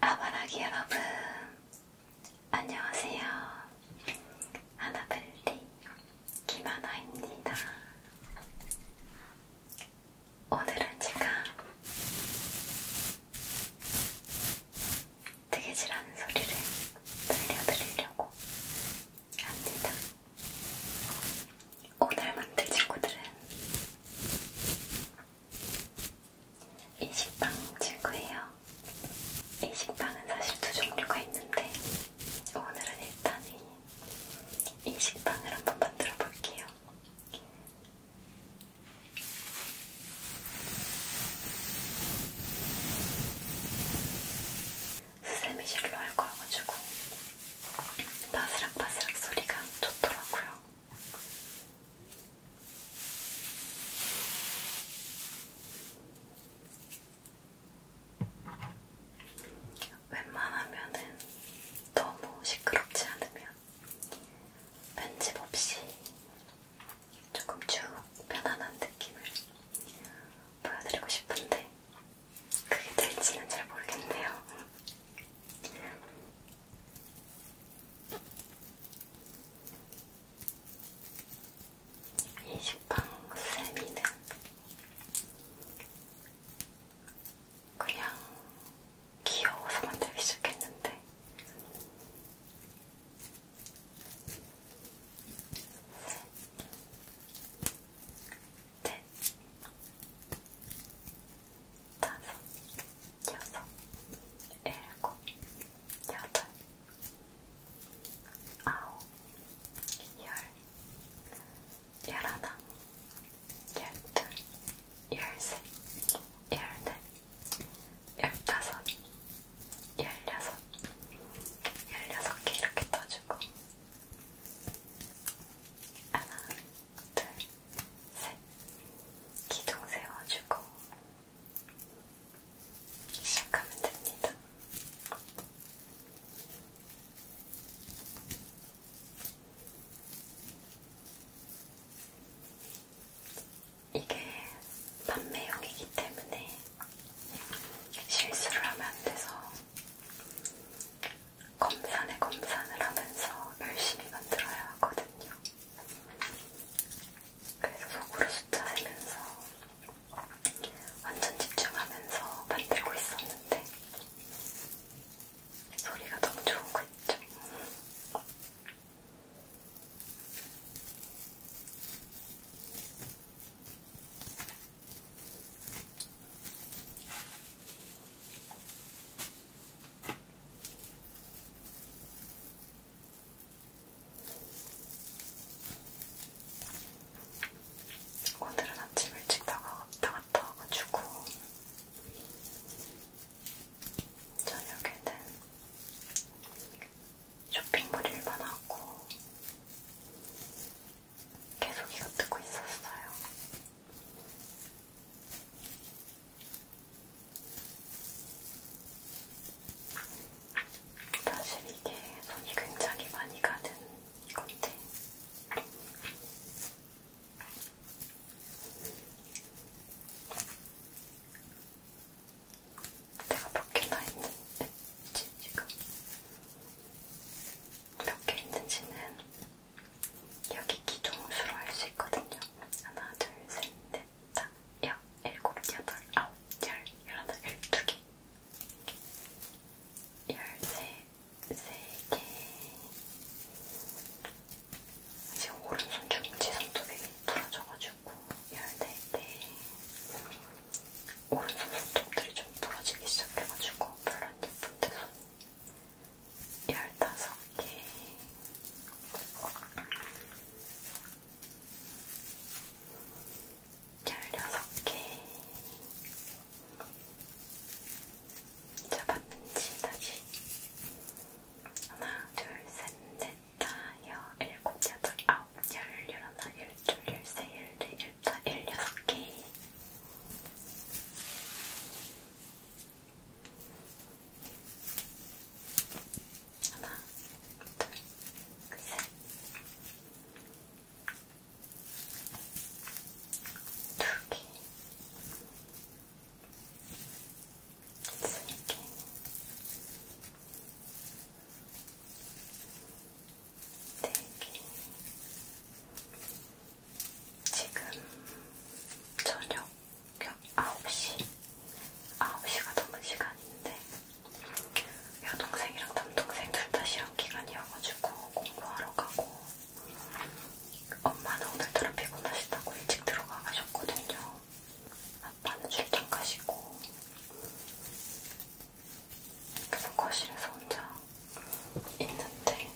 아바라기 여러분 안녕하세요. 하나벨리 김하나입니다. 오늘은 제가 뜨개질하는 소리를 들려드리려고 합니다. 오늘 만들 친구들은 이 식빵 친구예요. 이 식빵은 사실 두 종류가 있는데 오늘은 일단 이, 이 식빵을 한번 만들어 볼게요. 수세미실로 할 거여가지고 바스락바스락 소리가 좋더라고요. 웬만하면은 너무 시끄럽지 않으면 편집 없이 조금 쭉 편안한 느낌을 보여드리고 싶은데 그게 될지는 잘 모르겠네요. 이 식빵 쌤이는 그냥 귀여워서 만들기 시작했는데 셋, 네. 넷, 네. 다섯, 여섯, 일곱, 여덟, 아홉, 열, 열하나, 열둘, 열셋, 열넷, 열다섯, 열여섯, 열여섯 개 이렇게 떠주고 하나, 둘, 셋 기둥 세워주고 시작하면 됩니다. 이게 판매용이기 때문에 실수를 하면 안 돼서 검산에 검산을 하면서 열심히 만들어야 하거든요. 그래서 속으로 숫자하면서 완전 집중하면서 만들고 있었는데 소리가 너무 좋은 거 있죠? 오늘은 아침 일찍 나가, 나갔다 와가지고 저녁에는 쇼핑몰 일반하고 계속 이거 듣고 있었어요. 사실 이게 손이 굉장히 많이 가는 건데 내가 몇 개나 있는지 지금 몇개 있는지는 여기 기둥수로 할 수 있거든요. 하나, 둘, 셋, 넷, 다, 여, 일곱, 여덟, 아홉, 열, 열하나, 열두 개. 열세, 세 개. 이제 오른손 중지손톱이 부러져가지고 열네 개. 네. 오른손 손톱들이 좀 부러지기 시작해가지고 별로 안 예쁜데 손. 열다섯 개. 열여섯 개. 잡았지, 다시. 하나, 둘, 셋, 넷, 다, 여, 일곱, 여덟, 아홉, 열, 열하나, 열둘, 열세, 열네, 열다, 열여섯 개. 하나, 둘, 셋. 두 개. 세 개. 네 개. 지금 저녁 9시, 9시가 넘은 시간인데 여동생이랑 남동생 둘 다 시험 기간이어가지고 공부하러 가고 엄마는 오늘따라 피곤하시다고 일찍 들어가 가셨거든요. 아빠는 출장 가시고 그래서 거실에서 혼자 있는데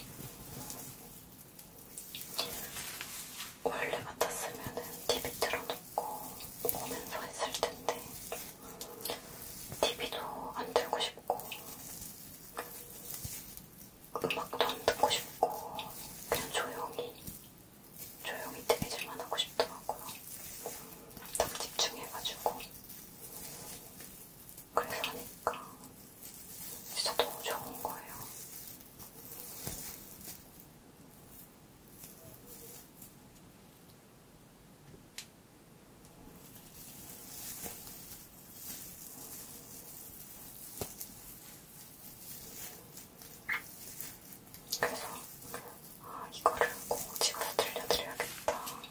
원래 같았으면은 TV 틀어놓고 오면서 했을 텐데 TV도 안 들고 싶고 음악도 안 듣고 싶고 그냥 조용히 조용히 TV질만 하고 싶더라고요. 딱 집중해가지고 그래서 하니까 진짜 너무 좋은 거예요. 그래서 아, 이거를 꼭 찍어서 들려드려야겠다 했죠.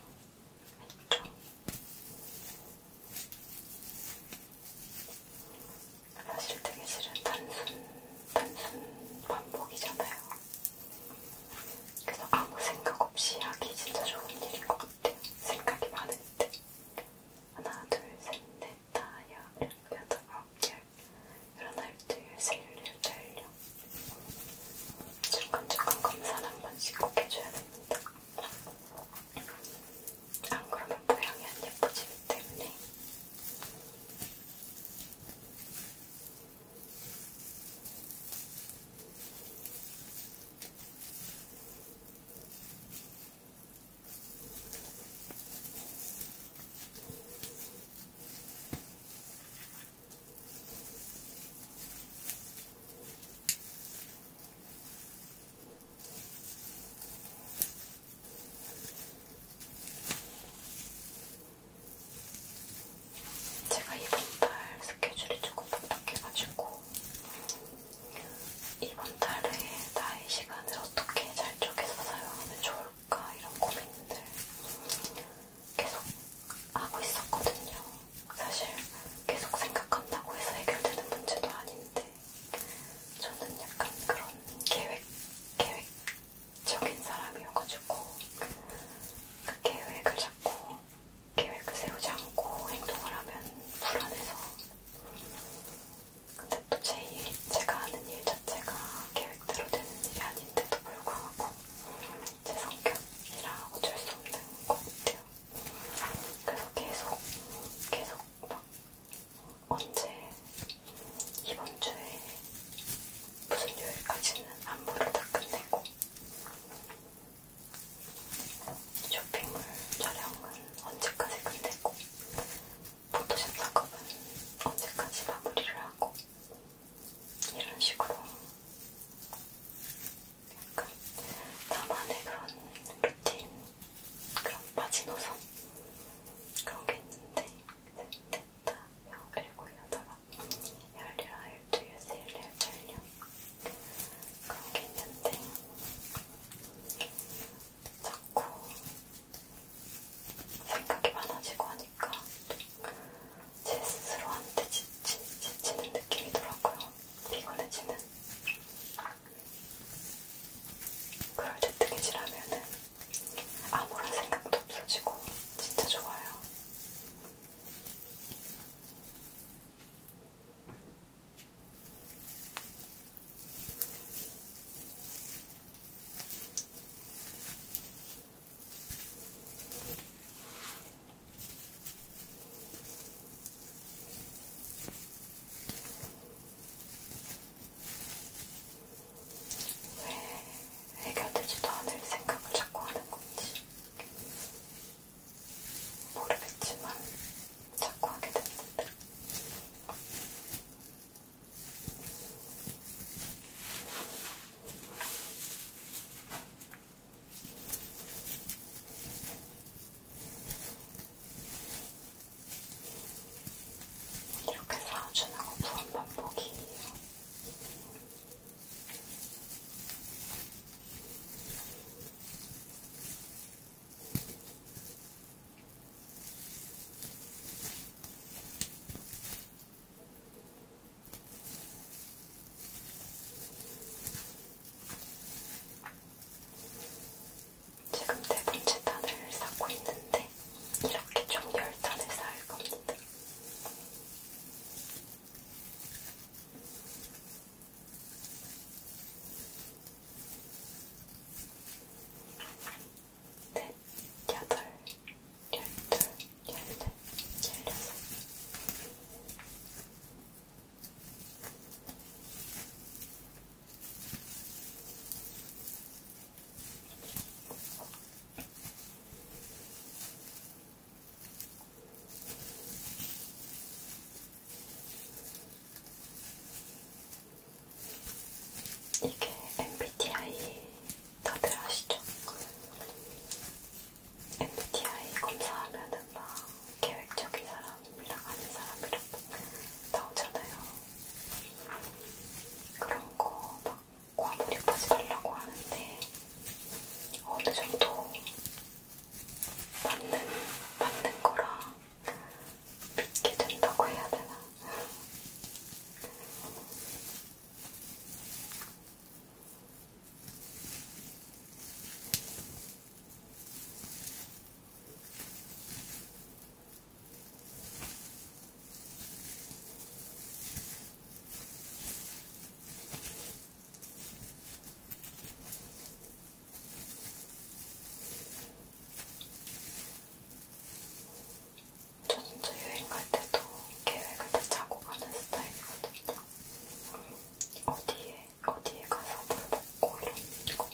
사실 되게 싫은 단순, 단순 반복이잖아요. 그래서 아무 생각 없이 하기 진짜 좋은 일인 것 같아요. 생각이 많을 때. 하나, 둘, 셋, 넷, 다, 여, 여덟, 아홉, 열. 일어날 때, 열, 열, 열, 열. 중간중간 검사를 한 번씩 꼭 해줘야 됩니다. 안 아, 그러면 모양이 안 예뻐지기 때문에 제가 이번 달 스케줄이 조금 복잡해가지고 이번 달에 나의 시간을 어떻게 잘 쪼개서 사용하면 좋을까 이런 고민들 계속 하고 있었거든요. 사실 계속 생각한다고 해서 해결되는 문제도 아닌데 저는 약간 그런 계획, 계획적인 사람이어가지고 그 계획을 잡고 계획을 세우지 않고 행동을 하면 불안해서 근데 또제 일, 제가 하는 일 자체가 계획대로 되는 일이 아닌데도 불구하고 제 성격이라 어쩔 수 없는 것 같아요. 그래서 계속, 계속 언제 이번 주에 무슨 요일까지는 안무를 다 끝내고 쇼핑몰 촬영은 언제까지 끝내고 포토샵 작업은 언제까지 마무리를 하고 이런 식으로 약간 나만의 그런 루틴 그런 마지노선 그런 게 있는데 셋다 일곱 여덟 열일아 열두 열세 열네 열여 그런 게 있는데 자꾸 생각이 많아지고 하니까 제 스스로한테 지치는 느낌이더라고요. 피곤해지는. 그럴 때 뜨개질하면은 아무런 생각도 없어지고 진짜 좋아요. 왜 해결되지도 않을 생각을 자꾸 하는 건지 모르겠지만 자꾸 하게 됐는데 이렇게 사주는 거 부한 반복이에요. 지금 네 번째 단을 쌓고 있는데 이렇게 총 열 단을 쌓을 겁니다. 넷, 네, 여덟, 열둘, 열넷, 열여섯 이게 MBTI 다들 아시죠? MBTI 검사하면은 막 계획적인 사람이랑 아닌 사람이랑 나오잖아요. 그런 거막 과몰입하지 말라고 하는데 어, 어느 정도 맞는, 맞는 거라 믿게 된다고 해야 되나? 저 진짜 여행 갈 때도 계획을 다 짜고 가는 스타일이거든요. 어디에, 어디에 가서 뭘 먹고 이런 거.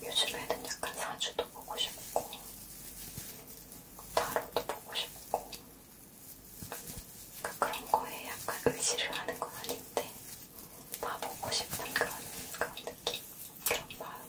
요즘에는 약간 사주도 보고 싶고, 타로도 보고 싶고, 그러니까 그런 거에 약간 의지를 하는 건 아닌데, 봐보고 싶은 그런, 그런 느낌, 그런 마음.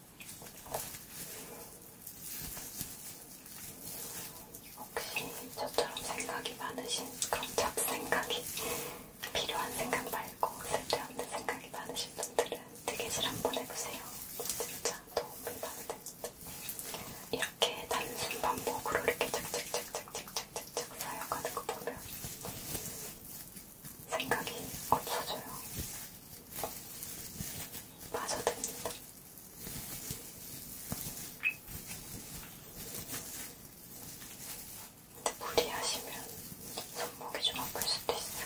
혹시 저처럼 생각이 많으신 그런 잡생각이 필요한 생각 말고 쓸데없는 생각이 많으신 분들은 뜨개질 한번 해보세요. 진짜 도움이 많이 됩니다. 이렇게 단순 반복으로 이렇게 착착착착착착착 쌓여가는 거 보면 생각이 없어져요. 빠져듭니다. 근데 무리하시면 손목이 좀 아플 수도 있어요.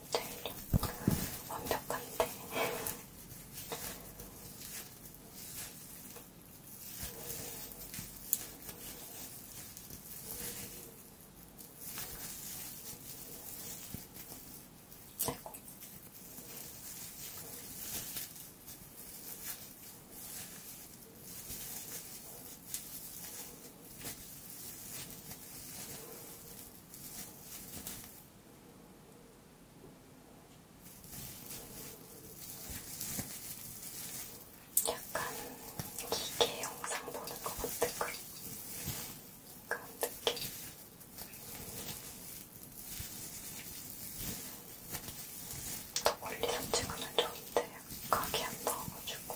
잘 완벽한데. 아이고. 약간 기계 영상 보는 것 같은 그런, 그런 느낌. 더 멀리서 찍으면 좋은데, 각이 안 나와가지고.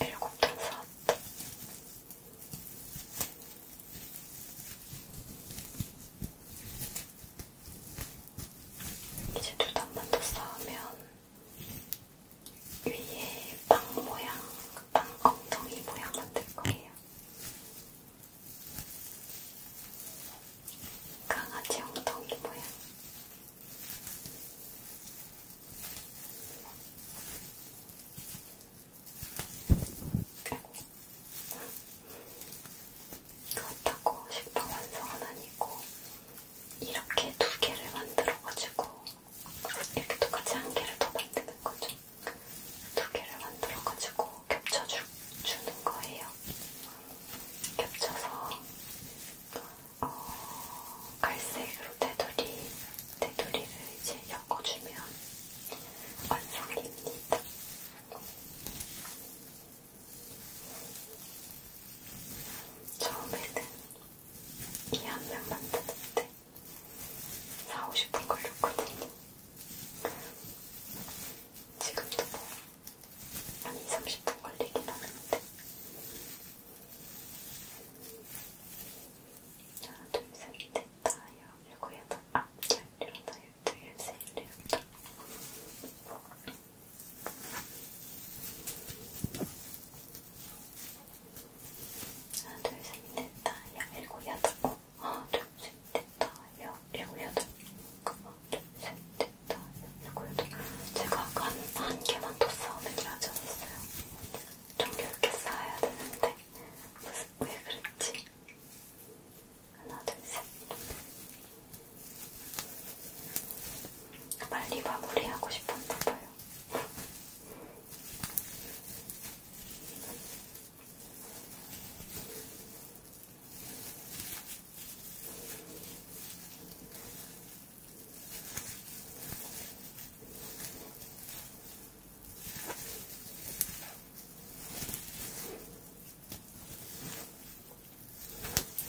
일곱 통 사왔다. 이제 두 단만 더 쌓으면 위에 빵 모양, 빵 엉덩이 모양 만들 거예요. 강아지 엉덩이 모양. 그렇다고 식빵 완성은 아니고 이렇게 두 개를 만들어가지고 이렇게 똑같이 한 개를 더 만드는 거죠. 두 개를 만들어가지고 겹쳐주는 거예요. 겹쳐서 어, 갈색으로 테두리, 테두리를 이제 엮어주면 완성입니다. 처음에는 이한면 만드는데 4, 50분 걸렸거든요. 지금도 뭐한 2, 30분 걸리긴 하는데 하나, 둘, 셋, 넷, 다, 여, 일곱, 여덟, 아홉, 열, 일어나, 열두, 열세, 열여덟 하나, 둘, 셋, 넷, 다, 여, 일곱, 여덟, 하나, 어, 둘, 셋, 됐다. 여, 일곱, 여덟. 하나, 둘, 셋, 됐다. 일곱, 여덟. 제가 아까 한, 한 개만 더 싸우는 줄 알지 않았어요? 좀 이렇게 쌓아야 되는데. 무슨, 왜 그랬지? 하나, 둘, 셋. 빨리 마무리하고 싶었나봐요.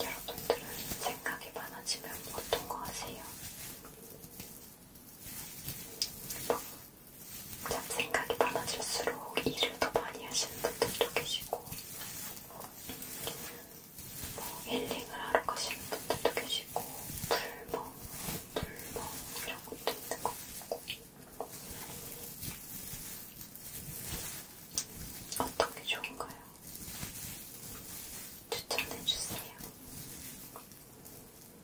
여러분들은 생각이 많아지면 어떤 거 하세요? 생각이 많아질수록 일을 더 많이 하시는 분들도 계시고 뭐 힐링을 하러 가시는 분들도 계시고 불멍, 불멍 이런 것도 있는 것 같고 어떤 게 좋은가요? 추천해주세요.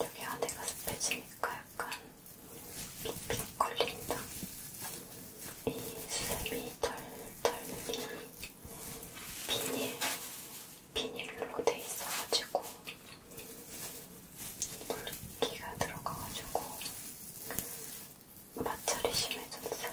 여기 안에가 습해지니까 약간 빅빅 걸린다. 이 수세미 털털이 비닐, 비닐로 돼 있어가지고 물기가 들어가가지고 마찰이 심해졌어요.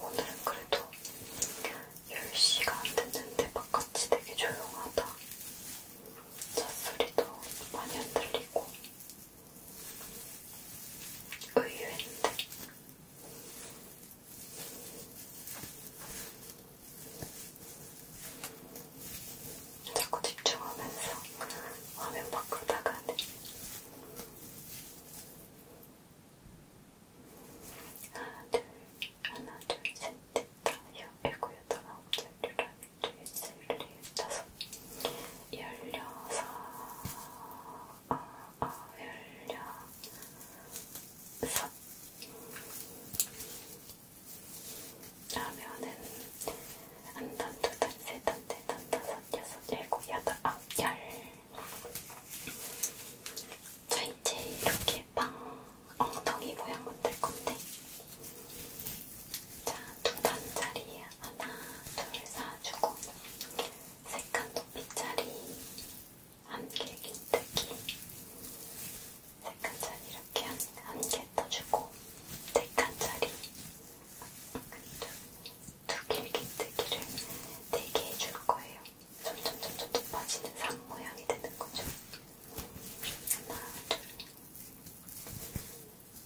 오늘은 그래도 10시가 안 됐는데 바깥이 되게 조용하다. 잣소리도 많이 안 들리고 의외인데. 자꾸 집중하면서 화면 밖으로 나가네. 하나, 둘, 하나, 둘, 셋, 넷, 다섯, 여섯, 일곱, 여덟, 아홉, 열, 열한, 열두, 열세, 열네, 열다섯, 열여섯, 아, 아, 열여섯, 라면은 한단 두단 세단 네단 다섯 여섯 일곱 여덟 아홉 열 자, 이제 이렇게 빵 엉덩이 모양 만들 건데 자, 두단 자리에 하나, 둘 사주고 세칸 높이짜리 한개 긴뜨기 세칸짜리 이렇게 한개더 주고 네칸짜리 두개 밑뜨기를 네 네개 해줄 거예요. 점점 점점 높아지는 산 모양이 되는 거죠. 하나, 둘,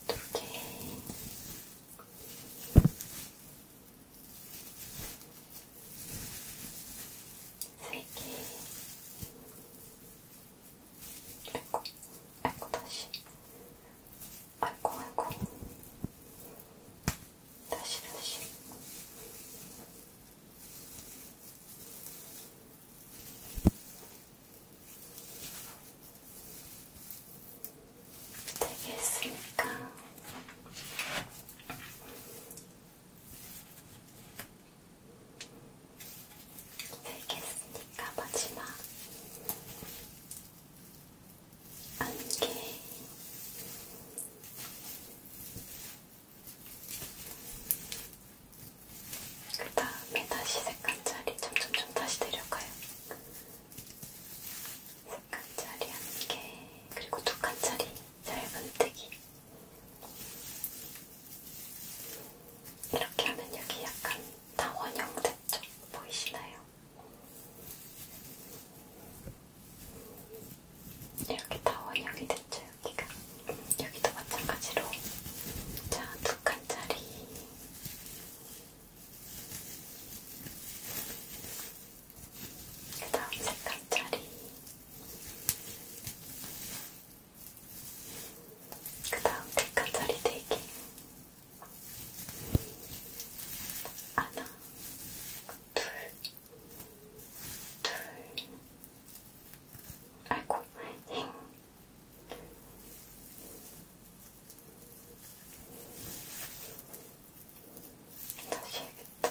두 개. 세 개, 아이고, 아이고, 다시. 아이고, 아이고. 다시, 다시. 되겠습니까? 알겠으니까 마지막 안개 그 다음에 다시 색깔자리 점점점 다시 내려가요 색깔자리 안개 그리고 두 칸짜리 짧은 뜨기 이렇게 하면 여기 약간 다 원형 됐죠? 보이시나요? 이렇게 다 원형이 됐죠? 여기가 여기도 마찬가지로 자, 두 칸짜리 그 다음 세 칸짜리 그 다음 색깔 자리 대기 네 하나 둘둘 아이고 힝 다시 해야겠다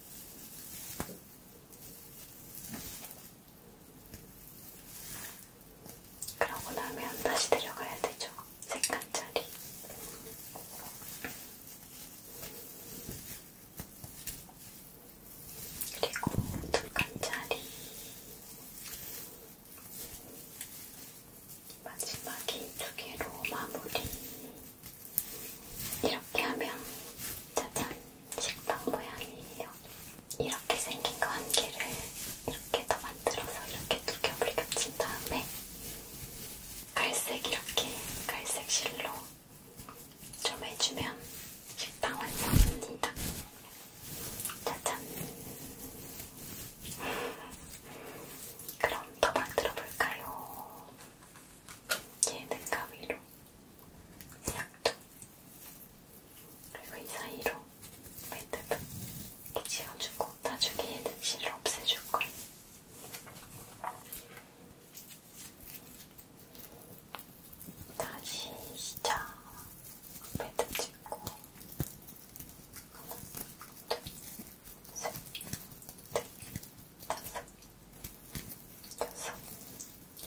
그러고 나면 다시 데려가야 되죠. 색깔짜리. 그리고 두 칸짜리. 마지막에 두 개로 마무리. 이렇게 하면 짜잔 식빵 모양이에요. 이렇게 생긴 거 한 개를 이렇게 더 만들어서 이렇게 두 겹을 겹친 다음에 갈색 이렇게 갈색 실로 좀 해주면 식빵 완성입니다. 짜잔. 그럼 더 만들어 볼까요? 얘는가 위로 약도 그리고 이 사이로 매듭 이렇게 지어주고 나중에 얘는 실을 없애줄 거예요. 다시 시작. 매듭 찍고 하나, 둘, 여섯,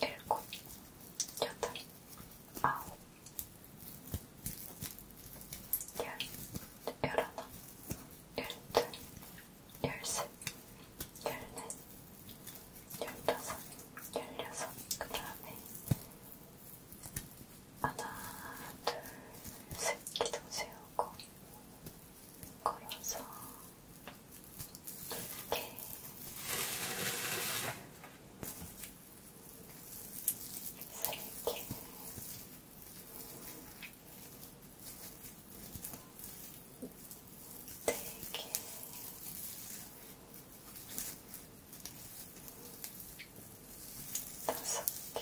일곱, 여덟, 아홉, 열, 열하나, 열둘, 열셋, 열넷, 열다섯, 열여섯, 그 다음에 하나, 둘, 셋, 기둥 세우고 걸어서 이렇게 세게 되게 다섯 개,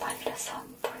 말라서 안 보여.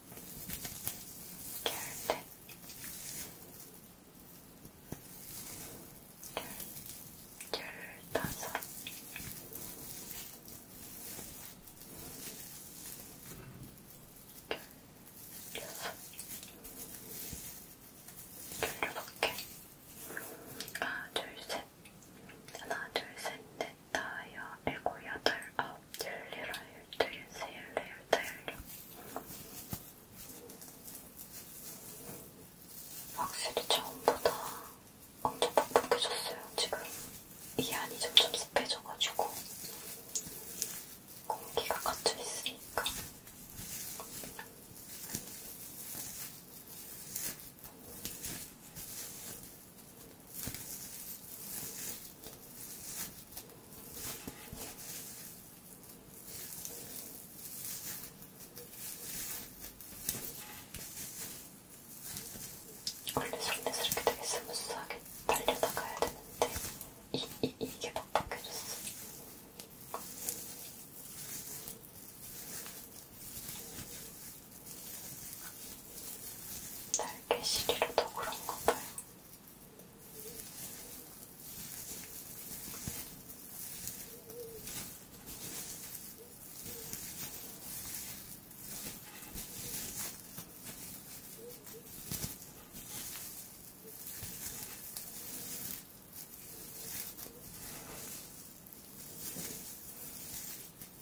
결대 열다섯 여섯 열여섯 개 하나 둘셋 하나 둘셋넷 셋다 여 일곱 여덟 아홉 열 일곱 열둘 열세 열네 열다 네, 열여 확실히 처음보다 엄청 바쁘게졌어요 지금 이 안이 점점 습해져가지고 공기가 갇혀 있으니까. 원래 손에서 이렇게 되게 스무스하게 달려다 가야 되는데 이, 이, 이게 빡빡해졌어. 날개 시리로도 그런가 봐요.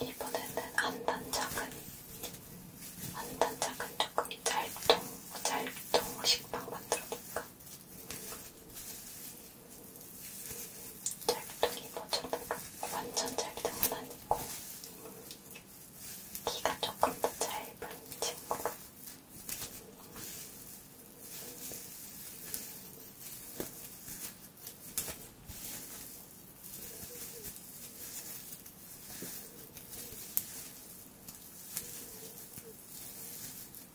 이번에는 한 단짝은, 한 단짝은 조금 짤통, 짤통 식빵 만들어볼까? 찰떡이 모자다가 뭐 완전 찰떡은 아니고 키가 조금 더 짧은 친구로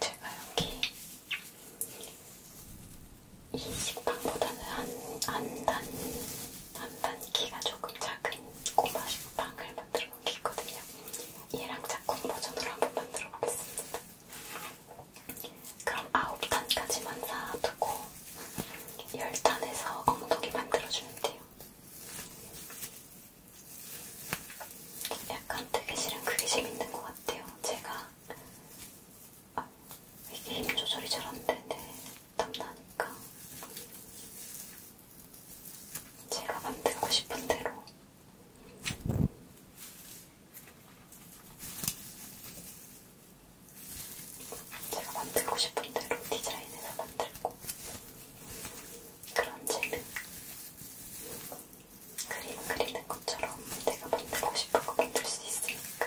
제가 여기 이 식빵보다는 안단 안단기가 조금 작은 꼬마 식빵을 만들어 놓은 게 있거든요. 얘랑 작은 버전으로 한번 만들어 보겠습니다. 그럼 9단까지만 쌓아두고 10단에서 엉덩이 만들어주면 돼요. 약간 뜨개질은 그게 재밌는 것 같아요. 제가 아, 이게 힘 조절이 잘안 되네. 땀나니까. 제가 만들고 싶은 대로 제가 만들고 싶은 대로 디자인해서 만들고 그런 젤은 그림 그리는 것처럼 내가 만들고 싶은 거 만들 수 있으니까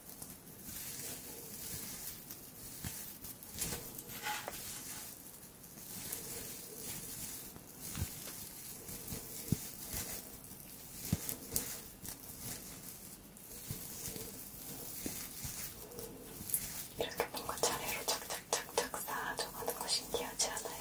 이렇게 뭔가 차례로 착착착착 쌓아져가는 거 신기하지 않아요?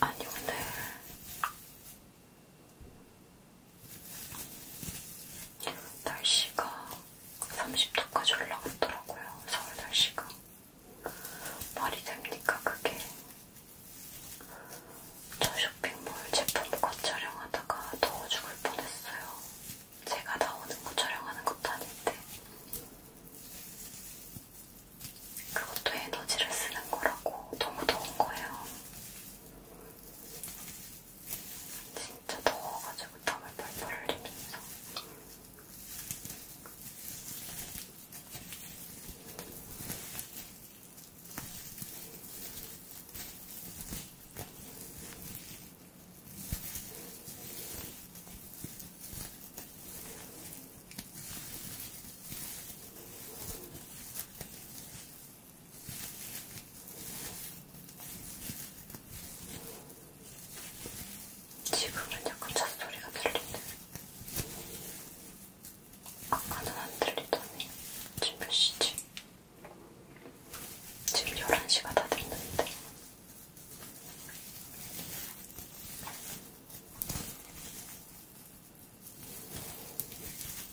아니, 오늘 날씨가 30도까지 올라갔더라고요. 서울 날씨가. 말이 됩니까, 그게? 저 쇼핑몰 제품 거 촬영하다가 더워 죽을 뻔했어요. 제가 나오는 거 촬영하는 것도 아닌데. 그것도 에너지를 쓰는 거라고 너무 더운 거예요. 진짜 더워가지고 땀을 벌벌 흘리면서 지금은 약간 잔소리가 들리네. 아까는 안 들리더니 지금 몇 시지? 지금 11시가 다 됐는데.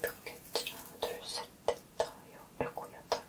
몇 개째라? 둘, 셋, 넷, 다, 여, 일곱, 여덟,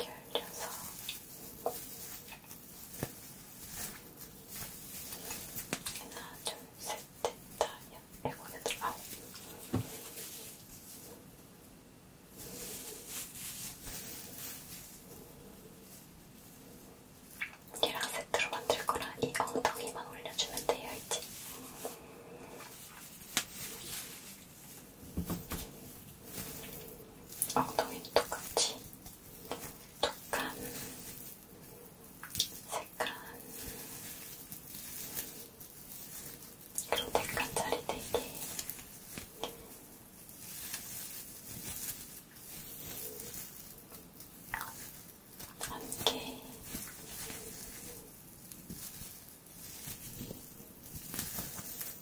열려서 하나, 둘, 셋, 넷, 다, 여, 일곱, 여덟, 아홉 얘랑 세트로 만들 거라 이 엉덩이만 올려주면 돼요, 이제. 엉덩이는 똑같이 톡한 색깔 그리고 백간짜리 되게 안개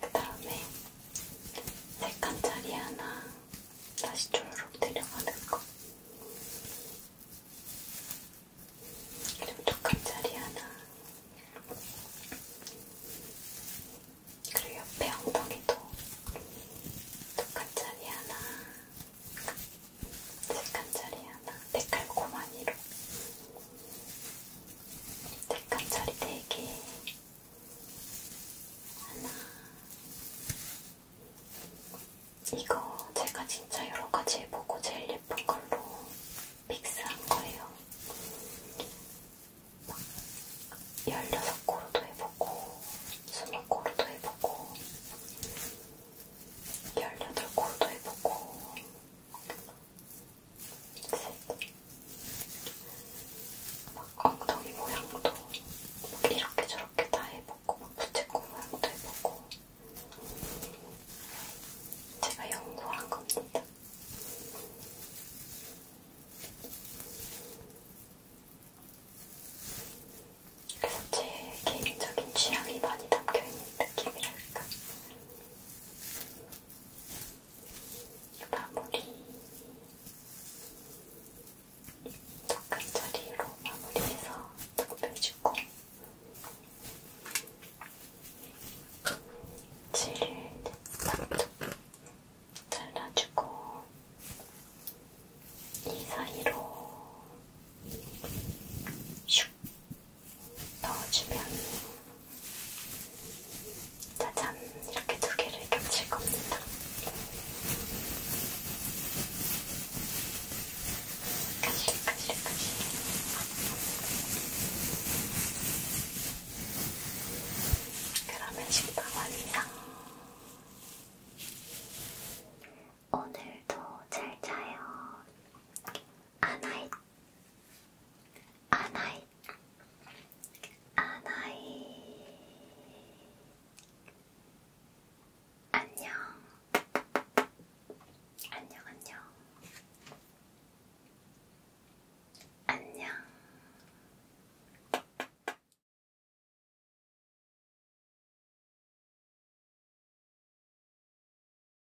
그 다음에 세 칸짜리 하나 다시 조르륵 내려가는 거. 그리고 두 칸짜리 하나. 그리고 옆에 엉덩이도 두 칸짜리 하나. 세 칸짜리 하나. 데칼코마니로. 색감 처리 4개 하나 이거 제가 진짜 여러가지 해보고 제일 예쁜 걸로 믹스한 거예요 16고로도 해보고 20고로도 해보고 18고로도 해보고 막 엉덩이 모양도 막 이렇게 저렇게 다 해보고 막 부채꽃 모양도 해보고 제가 연구한 겁니다. 그래서 제 개인적인 취향이 많이 담겨있는 느낌이랄까 마무리 똑같은 자리로 마무리해서 덮여주고 실을 딱 잘라주고 이 사이로 슉더 주면 짜잔 이렇게 두 개를 겹칠 겁니다. 까실까실까실 그러면 식빵 완성 오늘도 잘 자요. 아나이트 아나이 아나이 안녕 안녕 안녕 안녕